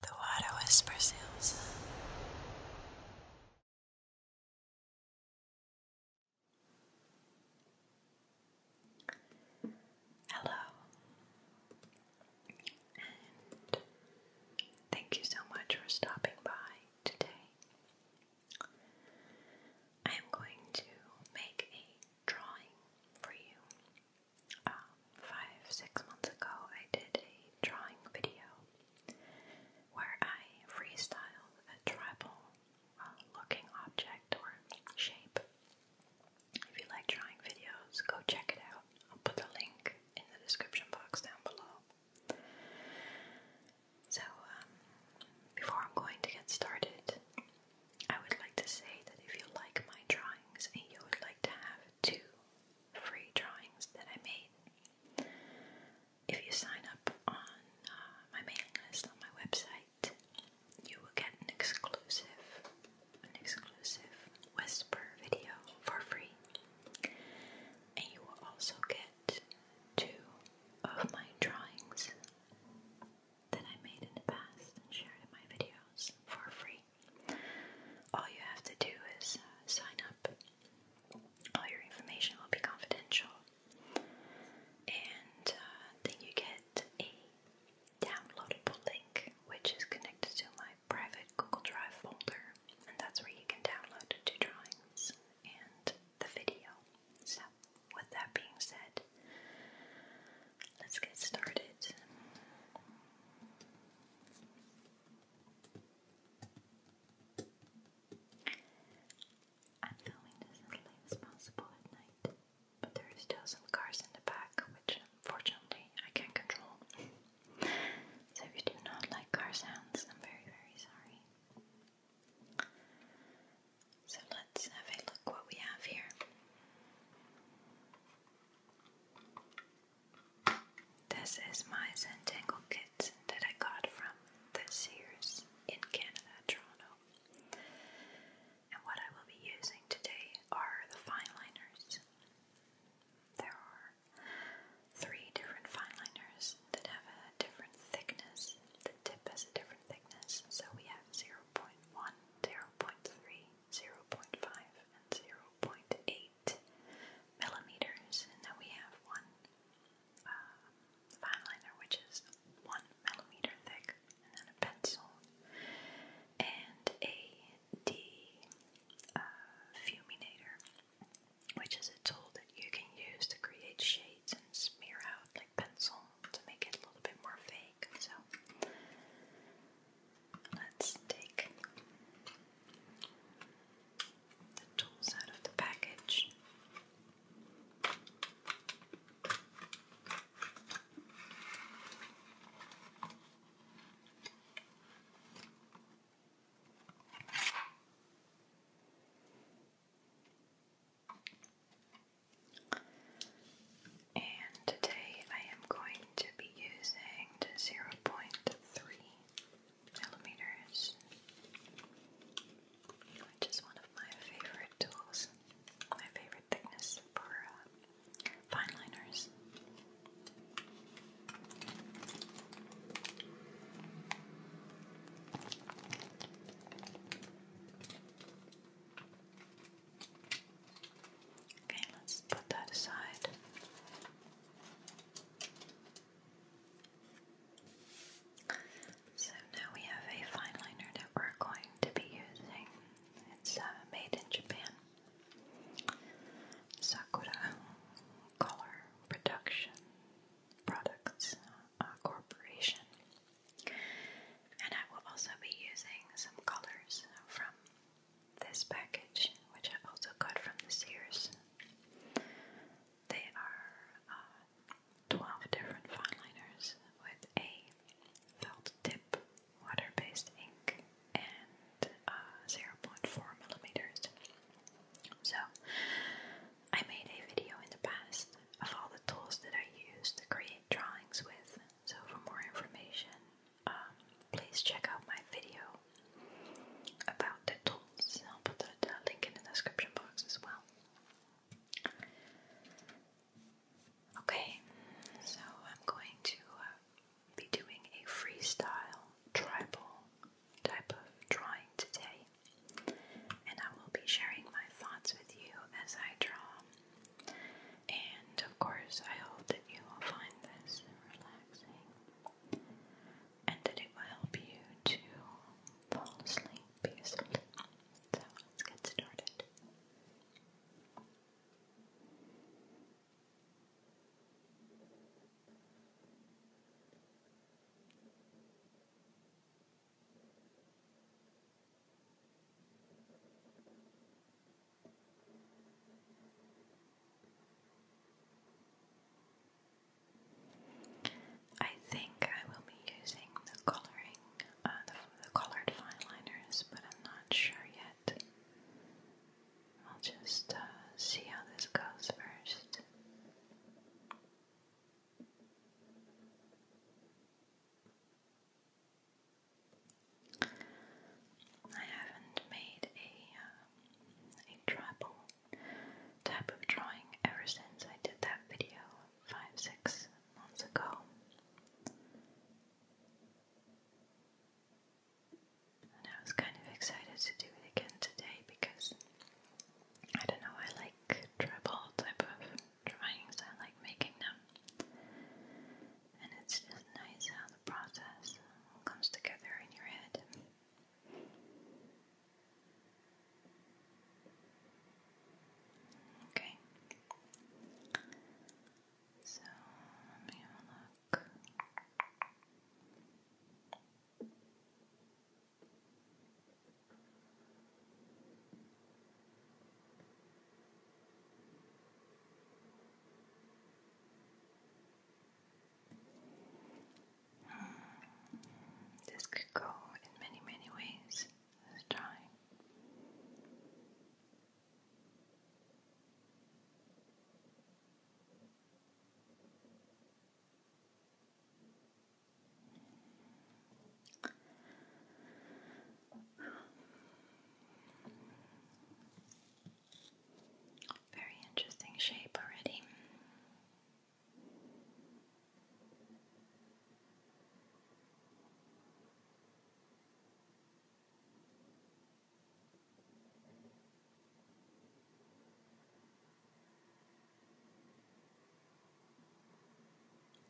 The water whispers Ilsa. Hello, and thank you so much for stopping by today. I am going to make a drawing for you um, five, six months ago, I did a drawing video where I freestyle a tribal uh, looking object or shape. If you like drawing videos, go check it out. I'll put the link in the description box down below. So, um, before I'm going to get started, I would like to say that if you like my drawings and you would like to have two free drawings that I made. If you sign up on uh, my mailing list on my website, you will get an exclusive, an exclusive whisper video for free, and you will also get two of my drawings that I made in the past and shared in my videos for free. All you have to do is uh, sign up. All your information will be confidential, and uh, then you get a downloadable link which is connected to my private Google Drive folder, and that's where you can download the drawings and the video. So, with that being said, let's get started. I'm filming this as late as at night, but there still some cars in the back, which unfortunately I can't control. so if you do not like car sounds, I'm very, very sorry. So let's have a look what we have here. This is my Zentangle kit that I got from the Sears in Canada, Toronto. And what I will be using today are the fine There are three different fineliners that have a different thickness. The tip has a different thickness. So we have zero point one, zero point three. 0.5 and 0.8 millimeters, and then we have one uh, fine liner which is one millimeter thick, and then a pencil and a D uh, fuminator, which is a tool that you can use to create shades and smear out like pencil to make it a little bit more fake. So Let's take the tools out of the package. And today I am going to be using the 0.3 millimeters, which is one of my favorite tools, my favorite thickness for uh, Okay, let's put that aside. So now we have a fine liner that we're going to be using. It's uh, made in Japan. Sakura Color Production Products uh, Corporation. And I will also be using some colors from this package, which I also got from the Sears. They are uh, 12 different fineliners with a felt tip, water based ink, and uh, 0.4 millimeters. So, I made a video in the past of all the tools that I use to create drawings with, so, for more information, um, please check out my video about the tools. I'll put the, link in the description box as well. Okay, so I'm going to uh, be doing a freestyle tribal type of drawing today, and I will be sharing my thoughts with you as I draw and of course, I hope that you will find this relaxing and that it will help you to fall asleep peacefully. So let's get started. Relax. I think I will be using the coloring, uh, the, colored fine but I'm not sure yet. I'll just uh, see how this goes first. I haven't made a uh, a tribal type of drawing ever since I did that video five six months ago. And I was kind of excited to do it again today because I don't know, I like tribal type of drawings, I like making them. And it's just nice how the process comes together in your head. Okay. So let me have a look. Hmm. This could go in many, many ways. Let's try. Very interesting shape already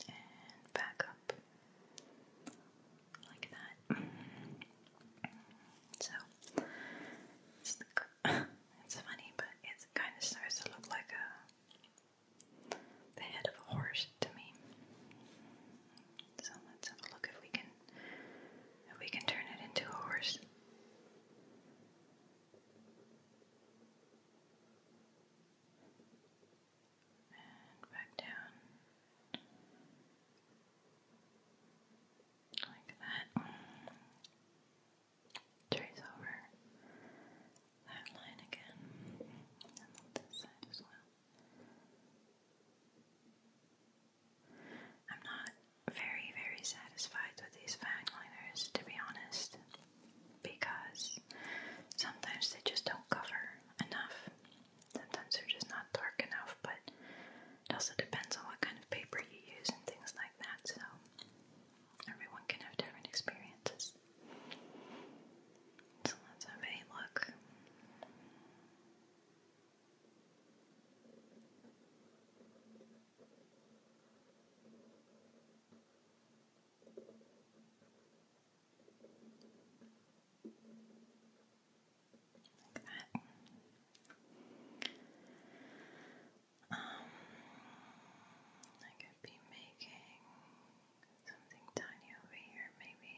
and back up like that. So it's, funny, but it kind of starts to look like a the head of a horse to me. So let's look if we can we can turn it into a horse and back down like that. Trace over that line again, and this side as well. I'm not very, very satisfied with these fag liners, to be honest because sometimes they just don't cover enough. Sometimes they're just not dark enough, but it also depends on what kind of paper you use and things like that, so everyone can have different experiences. So let's have a look. Like that. Um, I could be making something tiny over here, maybe.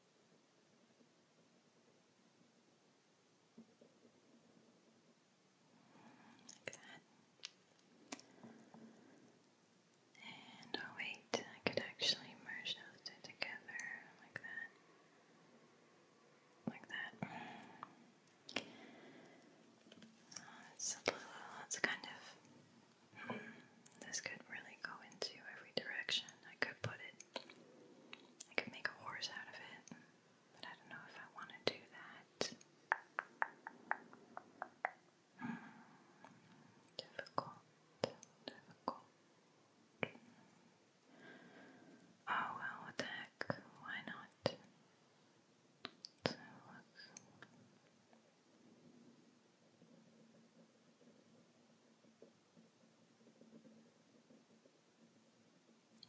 Like that. And oh wait, I could actually merge those two together like that. Like that. Oh, it's kind of. Hmm, this could really go into every direction. I could put it I could make a horse out of it, but I don't know if I want to do that. Hmm. Difficult, difficult. Oh well, heck? Why not?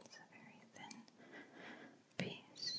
It's a very thin piece.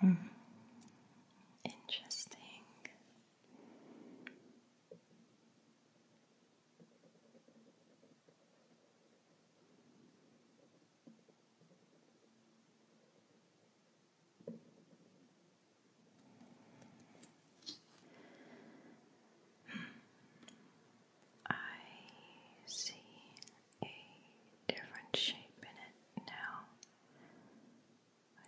Hmm. Interesting. I see a different shape in it now,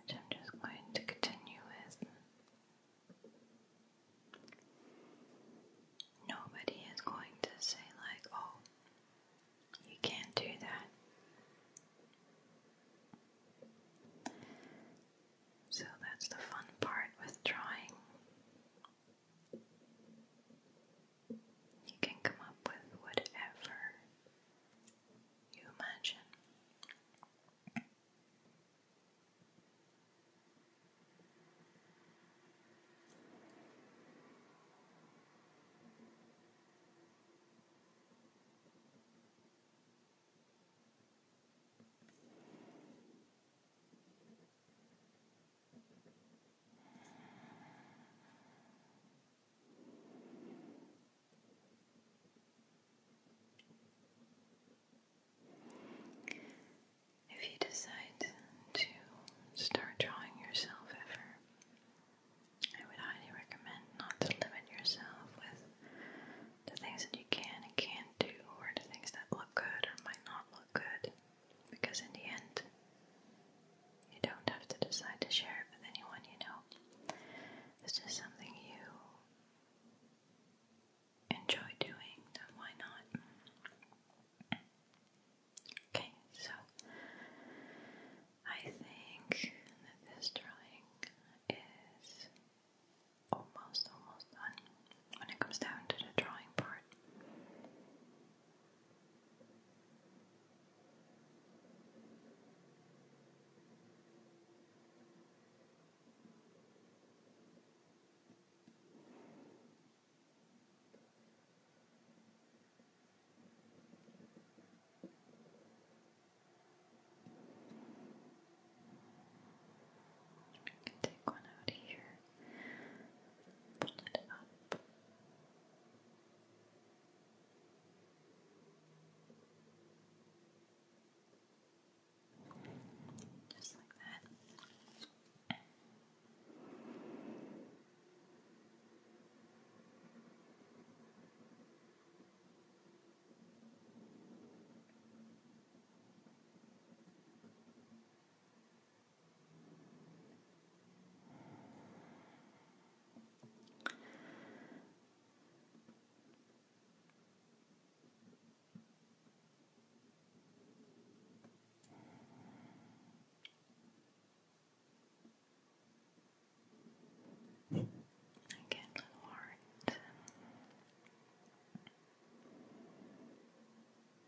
which I'm just going to continue with. Nobody is going to say, like, oh, you can't do that. So that's the fun part with drawing. You can come up with whatever you imagine. If you decide to start drawing yourself ever, I would highly recommend not to limit yourself with the things that you can and can't do, or the things that look good or might not look good. Because in the end, you don't have to decide to share it with anyone you know. This is something you enjoy doing, then why not? Okay, so I think that this drawing is almost, almost done when it comes down to the drawing part. You can take one out here. Pull it up. Just like that. Again, with heart.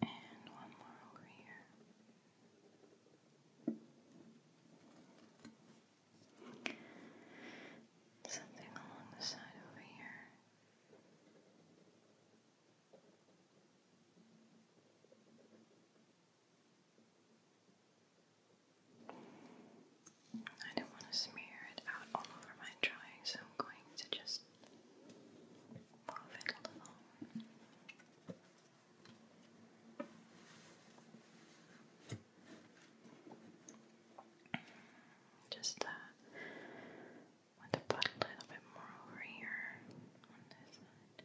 And one more over here. Something along the side over here. I don't want to smear it out all over my drawing, so I'm going to just move a little. Just uh, want to put a little bit more over here on this side.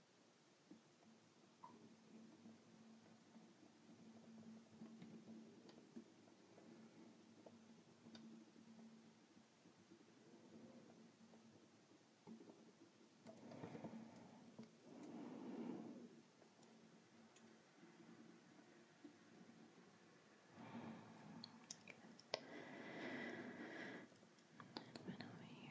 Good. And over here.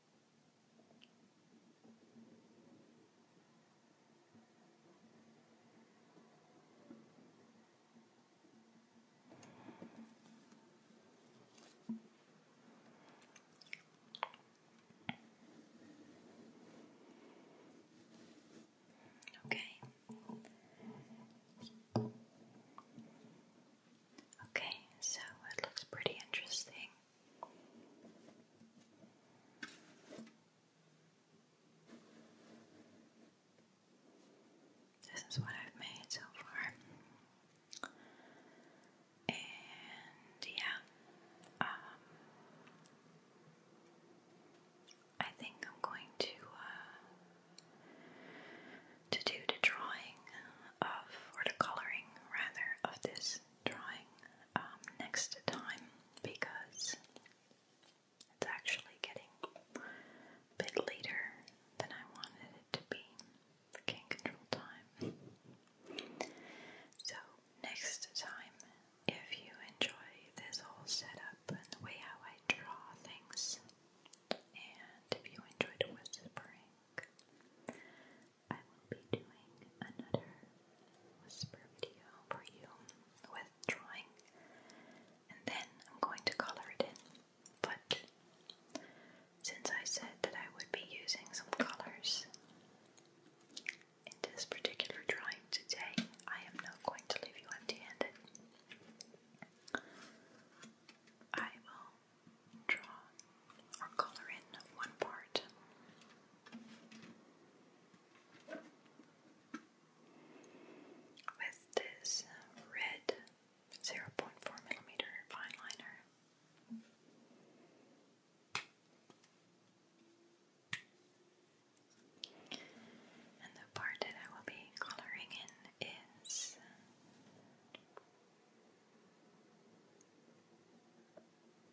Okay. Okay, so it looks pretty interesting. This is what I've made so far. And yeah, um, I think I'm going to uh, to do the drawing of, or the coloring rather, of this drawing um, next time because it's actually getting a bit later than I wanted it to be. can't control time. So, next time, if you enjoy this whole setup and the way how I draw things, and if you enjoyed whispering, I will be doing another whisper video for you with drawing, and then I'm going to color it in. But since I said that I would be using some colors in this particular drawing today, I am not going to leave you empty handed. I will draw or color in one part. With this red 0.4 millimeter fine liner. And the part that I will be coloring in is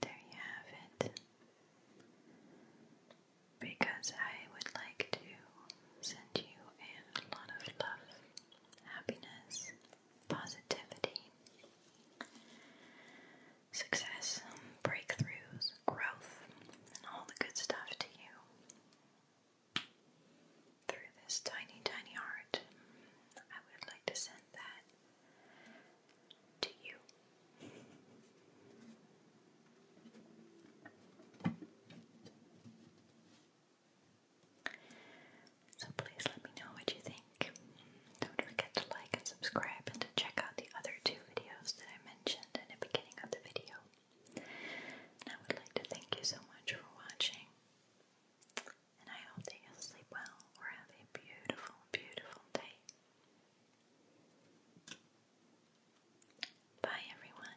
There you have it. Because I would like to send you a lot of love, happiness, positivity, success, um, breakthroughs, growth, and all the good stuff to you through this tiny, tiny heart. I would like to send that to you. So please let me know what you think. Don't forget to like and subscribe and to check out the other two videos that I in the beginning of the video. And I would like to thank you so much for watching. And I hope that you'll sleep well or have a beautiful, beautiful day. Bye, everyone.